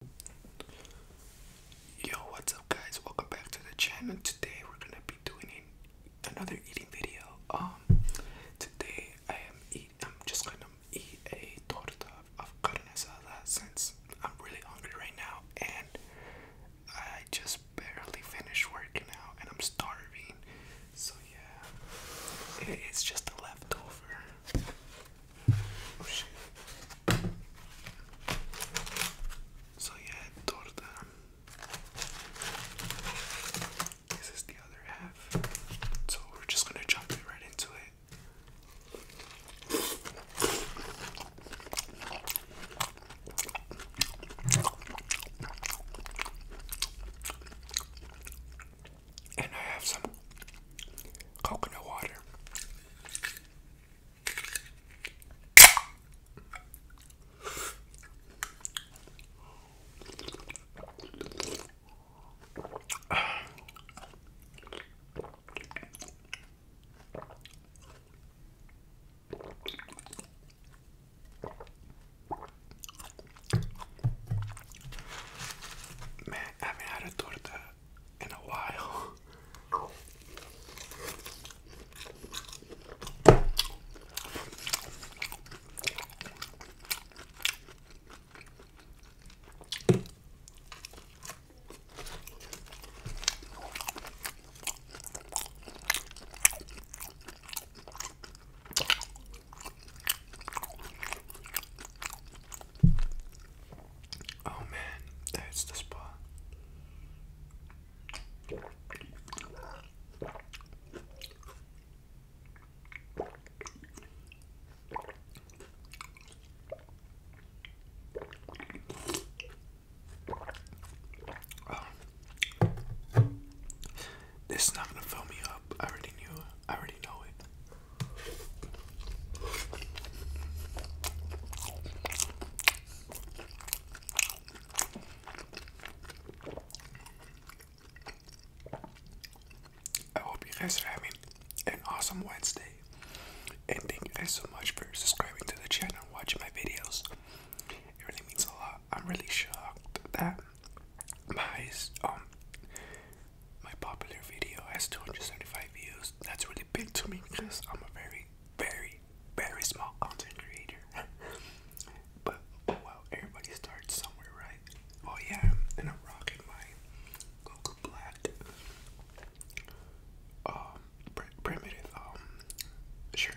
Yo, what's up guys? Welcome back to the channel. Today we're gonna be doing another eating video. Um today I am eating. I'm just gonna eat a torta of carne asada since I'm really hungry right now and I just barely finished working out and I'm starving. So yeah. It's just a leftover. So yeah, torta. the other half. So we're just gonna jump right into it. And I have some coconut water. Man, I haven't had a torta in a while. Oh man, that's the spot. Oh. This is not gonna fill me up. I already knew I already know it. I hope you guys are having an awesome Wednesday. And thank you guys so much for subscribing to the channel and watching my videos. It really means a lot. I'm really shocked that my um my popular video has 275 views. That's really big to me because I'm a very, very, very small content creator. but oh well, everybody starts somewhere, right? Oh yeah, and I'm rocking my Goku Black um primitive um shirt.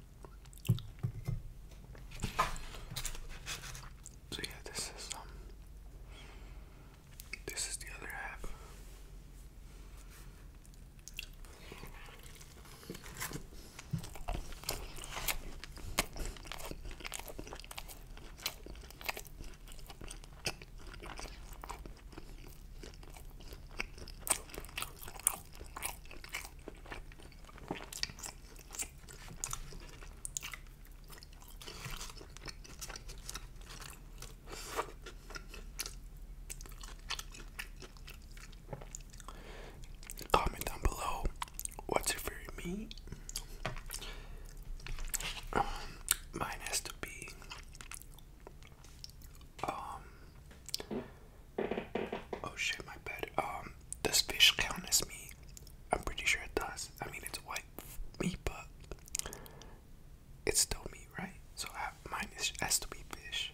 So yeah, this is um this is the other half. Comment down below what's your favorite meat. Um, mine has to be um, oh shit, my bad. Um, does fish count as meat? I'm pretty sure it does. I mean, it's white meat, but it's still meat, right? So mine is, has to be fish.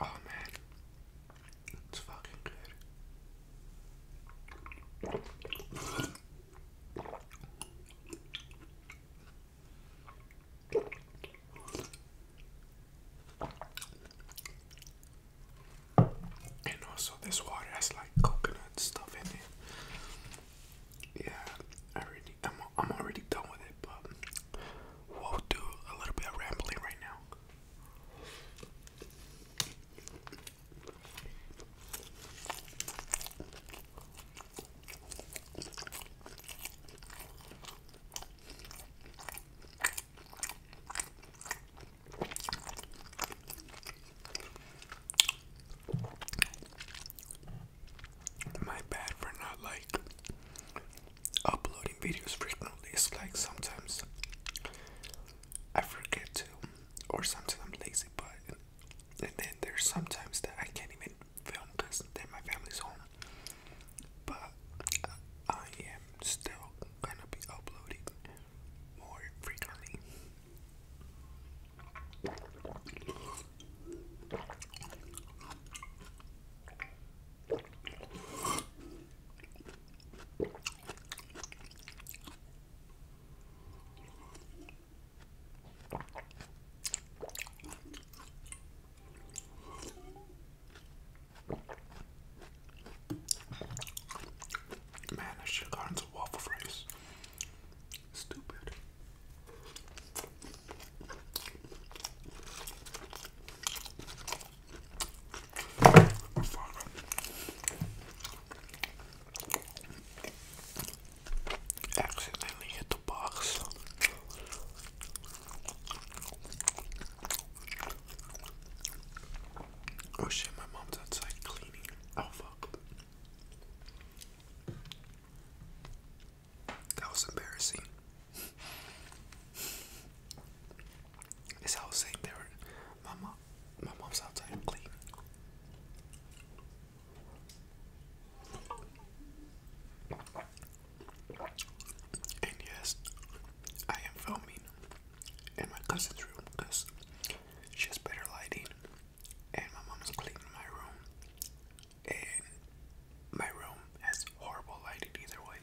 Oh man, it's fucking good. And also, this water has like coconut stuff in it. Yeah, I already, I'm, I'm already done with it, but we'll do a little bit of rambling right now. My bad for not like uploading videos frequently is like sometimes I forget to or sometimes I'm lazy but and then there's sometimes that I can't even film because then my family's home but I am still gonna be uploading more frequently Man, I should have gotten some waffle fries. Stupid. Accidentally hit the box. Oh shit, my mom's outside cleaning. Oh fuck. That was embarrassing. It's how saying they were my mom's outside cleaning, And yes, I am filming in my cousin's room because she has better lighting and my mom is cleaning my room and my room has horrible lighting either way.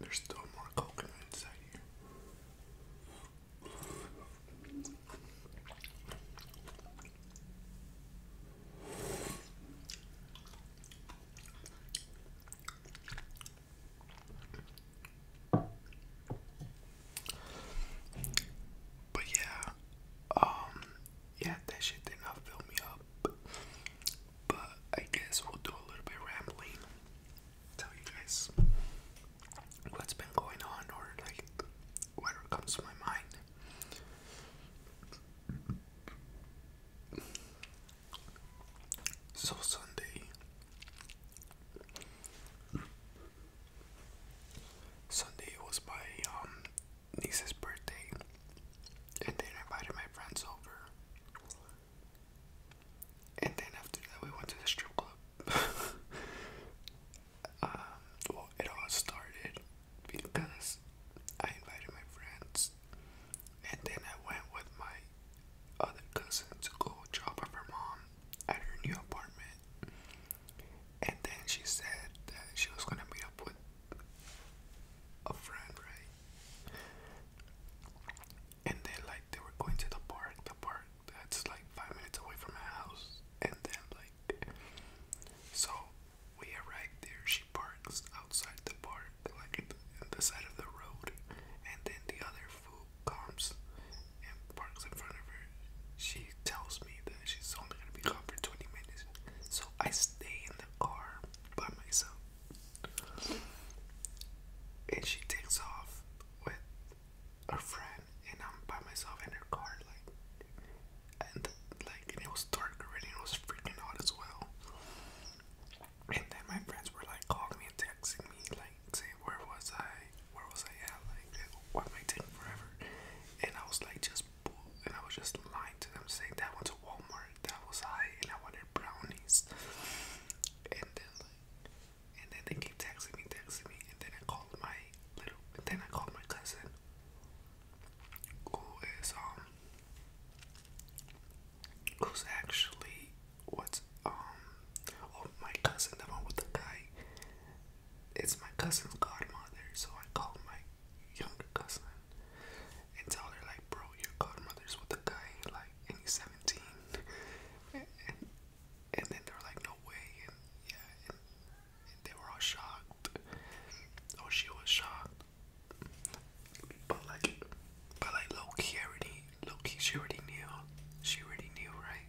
There's still more coconut inside here. But yeah, um, yeah, that shit did not fill me up. But I guess we'll do a little bit rambling. Tell you guys what's been going on or like whatever comes to my mind. So Sunday, Sunday was my um, niece's birthday, and then invited my friends over. And then after that, we went to the strip club. Um, well, it all started because I invited my friends, and then I went with my other cousin to go drop off her mom at her new apartment. And then she said that she was gonna meet up with a friend, right? And then, like, they were going to the park, the park that's like five minutes away from my house. And then, like, so we arrive there, she parks outside the park, like in the side of the road, and then the other fool comes and parks in front of her. She tells me that she's only gonna be gone for 20 minutes, so I stay in the car by myself. And she takes off with her friend, and I'm by myself in her car, like and like it was dark already. It was freaking hot as well. And then my friends were like calling me and texting me, like saying, "Where was I? Where was I at? Like, why am I taking forever?" And I was like, "Just," bull and I was just lying to them, saying that went to Walmart, that was I, and I wanted brownies. And then, and then they keep texting me, texting me, and then I called my little, and then I called my cousin, who is um who's actually what's um oh, my cousin the one with the guy it's my cousin's godmother so I call my younger cousin and tell her like bro your godmother's with a guy like and he's 17 and, then they're like no way and yeah they were all shocked. Oh, she was shocked. But like, but like, low key already, low key she already knew. She already knew, right?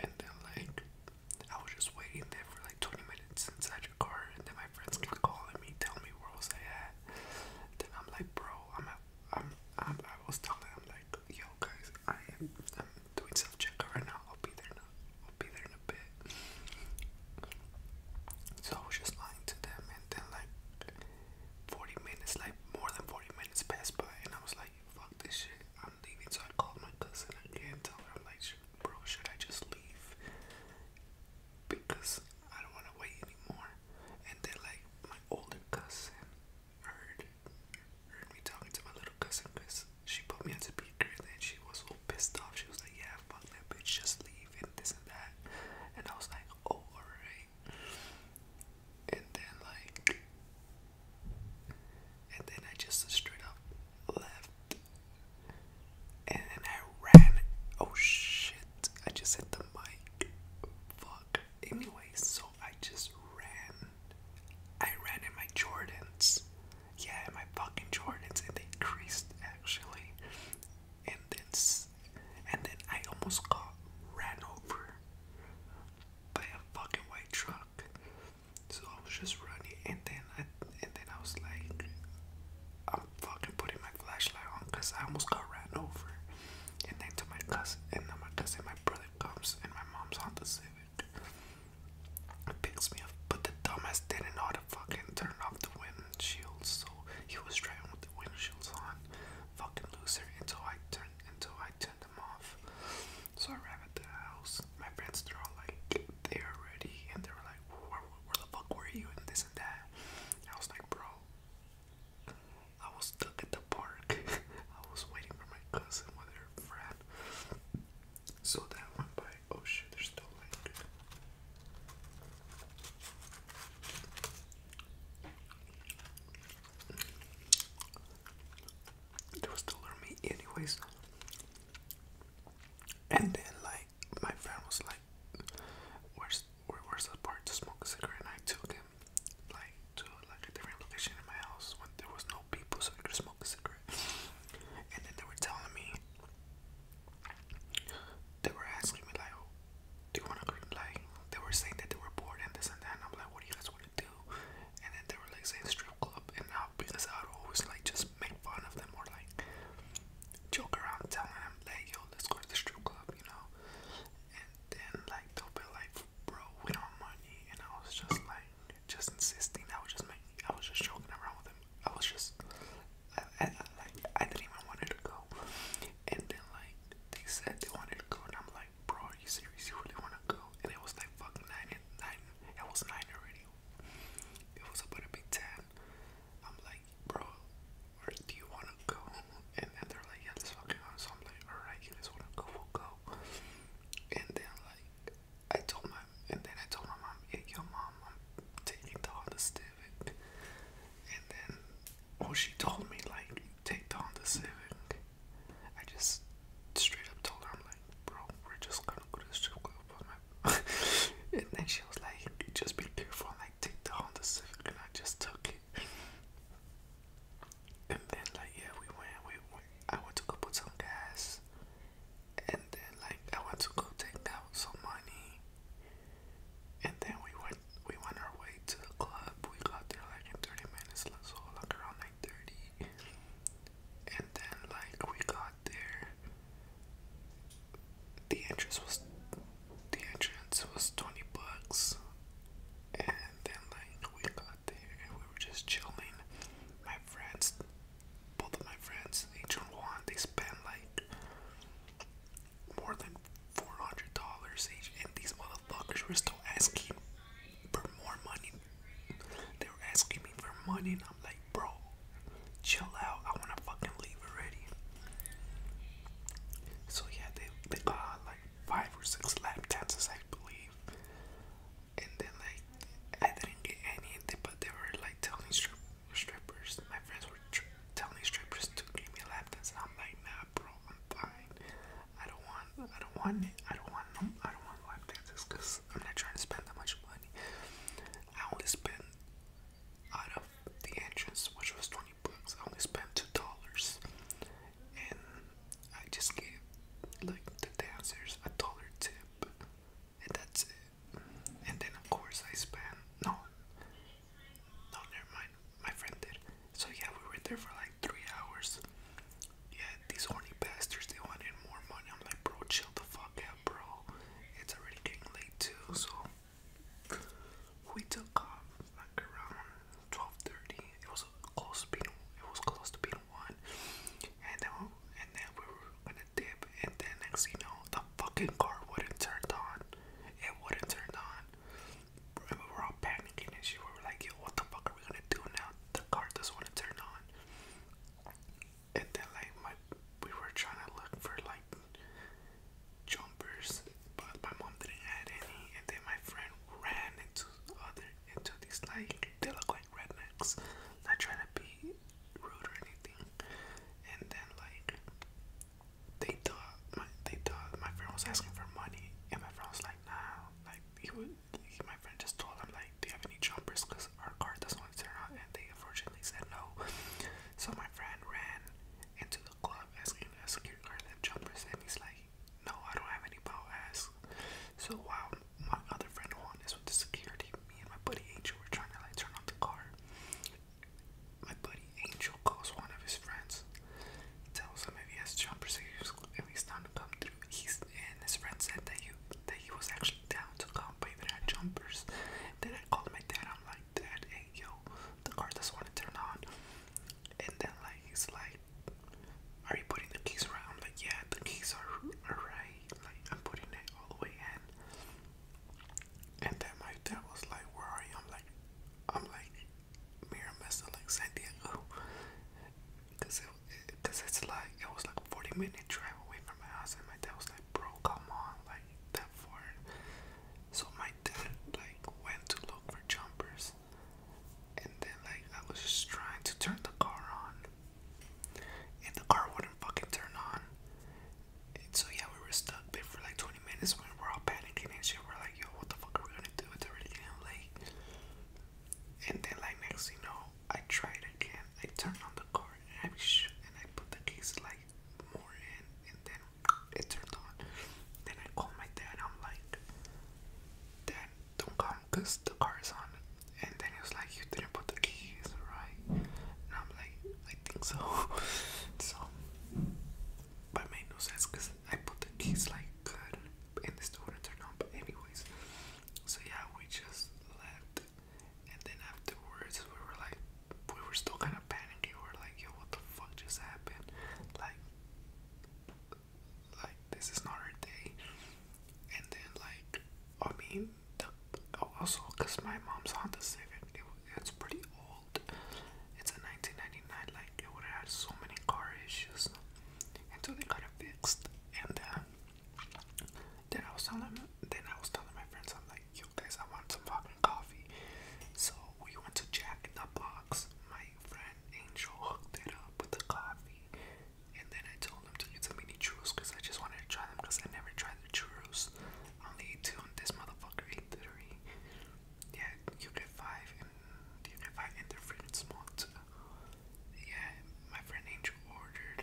And then like, I was just waiting there for like 20 minutes inside your car, and then my friends kept calling me, telling me where was at. Then I'm like, bro, I'm I'm, I'm, I was telling I'm like, yo guys, I am, I'm self check right now. I'll be there I'll be there in a bit. So I was just lying to them, and then like 40 minutes, like more than 40 minutes passed by, and I was like, fuck this shit, I'm leaving. So I called my cousin I again, tell her, I'm like, bro, should I just leave? Because I don't want to wait anymore. And then, like, my older cousin heard, heard me talking to my little cousin she put me as a beat girl and she was so pissed off. She was like, yeah, fuck that bitch, just leave and this and that. And I was like, oh, alright. And then like, and then I just straight up left. And then I ran. Oh shit! I just hit the mic. Fuck. Anyway, so I just ran. I ran in my Jordans. Yeah, my fucking Jordans, and they creased actually. And then, and then I almost got ran over by a fucking white truck. So I was just running, and then I, and then I was like, I'm fucking putting my flashlight on because I almost got ran over. And then to my cousin, and then my cousin, my brother comes, and my mom's on the Civic picks me up, but the dumbass didn't know to fucking turn off the windshield, so he was driving with the windshields on. Fucking loser until I turned until I turned them off. So I ran at the house. My friends they're all like there already, and they were like, where, the fuck were you?" and this and that. I was like, "Bro, I was stuck at the park. I was waiting for my cousin with her friend." So that went by oh shit, there's still like. It was still on me anyways. And then like my friend was like where's where, where's the part to smoke a cigarette and I took him like to like a different location in my house when there was no people so I could smoke a cigarette. And then they were telling me, they were asking me like, oh, do you want to like? They were saying that they were bored and this and that. I'm like, what do you guys want to do? And then they were like saying strip club. And now because I'd always like just make fun of them or like joke around, telling them like, yo, let's go to the strip club, you know? And then like they'll be like, bro, we don't have money. And I was just like just insisting. that was just me. I was just joking around with him. I was just, I, like, I didn't even want to go. And then like they said they wanted to go, and I'm like, bro, are you serious? You really want to go? And it was like fucking nine and nine. It was nine already. It was about to be ten. I'm like, bro, where do you want to go? And then they're like, yeah, let fucking go. So I'm like, alright, you just want to go? We'll go. And then like I told my and then I told my mom, yeah, your mom, I'm taking the Honda Civic. And then well she told me like take the Honda Civic. I just straight up told her I'm like, bro, we're just gonna go to strip club and then she was like, just be careful like take the Honda Civic and I just took it. And then like yeah we went we I want to go put some gas, and then like I want to go take out some money, and then we went we went our way to the club. We got there like in thirty minutes, so like around like thirty, and then like we got there. The entrance was the entrance was twenty bucks, and then like we got there and we were just chilling. My friends, both of my friends, each one, they spend like more than four hundred dollars each, and these motherfuckers were still asking for more money. They were asking me for money, and I'm like, bro, chill out. I wanna fucking leave already. So yeah, they they got like five or six lap dances, I believe and then like I didn't get any, but they were like telling strippers. My friends were telling strippers to give me lap dance, I'm like, nah, bro, I'm fine. I don't want, I don't want it. I don't want them. I don't want lap dances because I'm not trying to spend that much money. I only spent out of the entrance, which was twenty bucks. I only spent two dollars, and I just gave like the dancers a dollar tip, and that's it. And then of course I spent no, no, never mind. My friend did. So yeah, we were there for like three hours. Yeah, these horny bastards they wanted more money. I'm like, bro, chill the fuck out, bro. It's already getting late too, so. We took off around twelve thirty. It was close to being it was close to being one, and then and then we were gonna dip, and then next you know the fucking car wouldn't turn on. It wouldn't turn on. we were all panicking and We were like, yo, what the fuck are we gonna do now? The car doesn't want to turn on. And then like my, we were trying to look for like jumpers, but my mom didn't have any. And then my friend ran into other into these like they look like rednecks. Not trying to be rude or anything. And then like they thought my they thought my friend was asking for money and my friend was like nah like he would my friend just told him like do you have any jumpers because our car doesn't want to turn on and they unfortunately said no. So my friend ran into the club asking a security guard to jumpers and he's like no, I don't have any bow ass. So while my other friend Juan is with the security, me and my buddy Angel were trying to like turn on the car. My buddy Angel calls one of his friends, tells him if he has jumpers saves, he's down to come through. He's and his friend said that you that he was actually down to come, but he did jumpers. Then I called my dad. I'm like, Dad, hey yo, the car doesn't to turn on and then like it's like are you putting the keys around like yeah the keys are, are right like i'm putting it all the way in and then my dad was like where are you i'm like i'm like mirror messed like san diego because it, it, cause it's like it was like a 40 minute drive away from my house and my dad was like bro come on like that far so my dad like went to look for jumpers and then like I was just trying to turn the car on, and the car wouldn't fucking turn on. so yeah, we were stuck there for like 20 minutes when we're all panicking and shit. We're like, yo, what the fuck are we gonna do? It's already getting late. And then like next you know, I tried again. I turned on the car and I and I put the keys like more in, and then it turned on. Then I called my dad. I'm like, Dad, don't come because the car is on and then he was like you didn't put the keys right and i'm like i think so so but made no sense because i put the keys like good and this door turned on but anyways so yeah we just left and then afterwards we were like we were still kind of panicking we were like yo what the fuck just happened like like this is not her day and then like i mean the, oh, also because my mom's honda civic it, it's pretty old it's a 1999 like it would have so many car issues until they got it fixed and uh, then i was telling then i was telling my friends i'm like yo guys i want some fucking coffee so we went to Jack in the Box. My friend Angel hooked it up with the coffee, and then I told him to eat some churros because I just wanted to try them because I never tried the churros. I only ate two, this motherfucker ate three. Yeah, you get five, and you get five, and they're freaking Yeah, my friend Angel ordered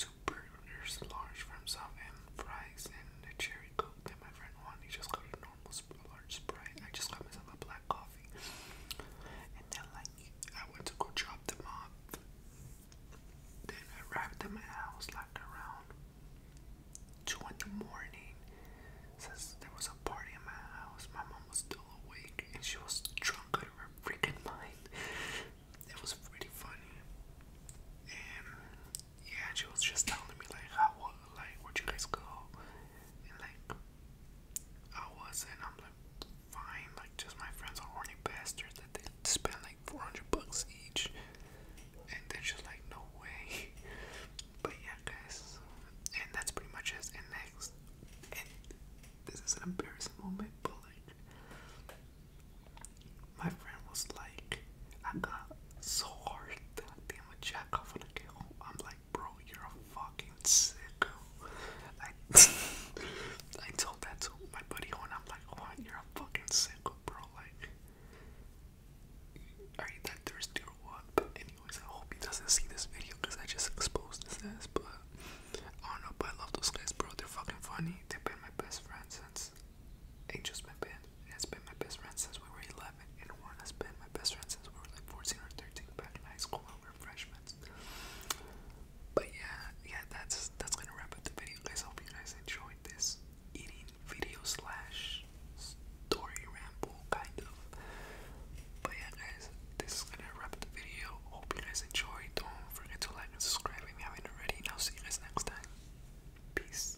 two burgers large for himself and fries and a cherry coke that my friend wanted. He just got a normal large Sprite. I just got myself a black coffee. And then like I went to go drop them off. Then I arrived at my house like around two in the morning. Since there was a party in my house, my mom was still awake and she was drunk out of her freaking mind. It was pretty funny. And yeah, she was just telling me like how like where'd you guys go? And like I wasn't. I'm like, fine. Like, just my friends are horny bastards that they spend like 400 bucks each. And they're just like, no way. but yeah, guys. And that's pretty much it. And next, and this is an embarrassing moment, but like, my friend was like, I got so hard that damn a jack off on I get I'm like, bro, you're a fucking sicko. I, I told that to my buddy and I'm like, what? You're a fucking sicko, bro. Like, are you that thirsty or what? anyways, I hope he doesn't see this video because I just exposed his ass. But I do but I love those guys, bro. They're fucking funny. They've been my best friends since Angels been banned has been my best friend since we were 11, and Juan has been my best friend since we were like 14 or 13 back in high school when we were freshmen. But yeah, yeah, that's that's gonna wrap up the video, guys. Hope you guys enjoyed this eating video slash story ramble kind of. But yeah, guys, this is gonna wrap up the video. Hope you guys enjoyed. Don't forget to like and subscribe if you haven't already. And see you guys next time. Peace.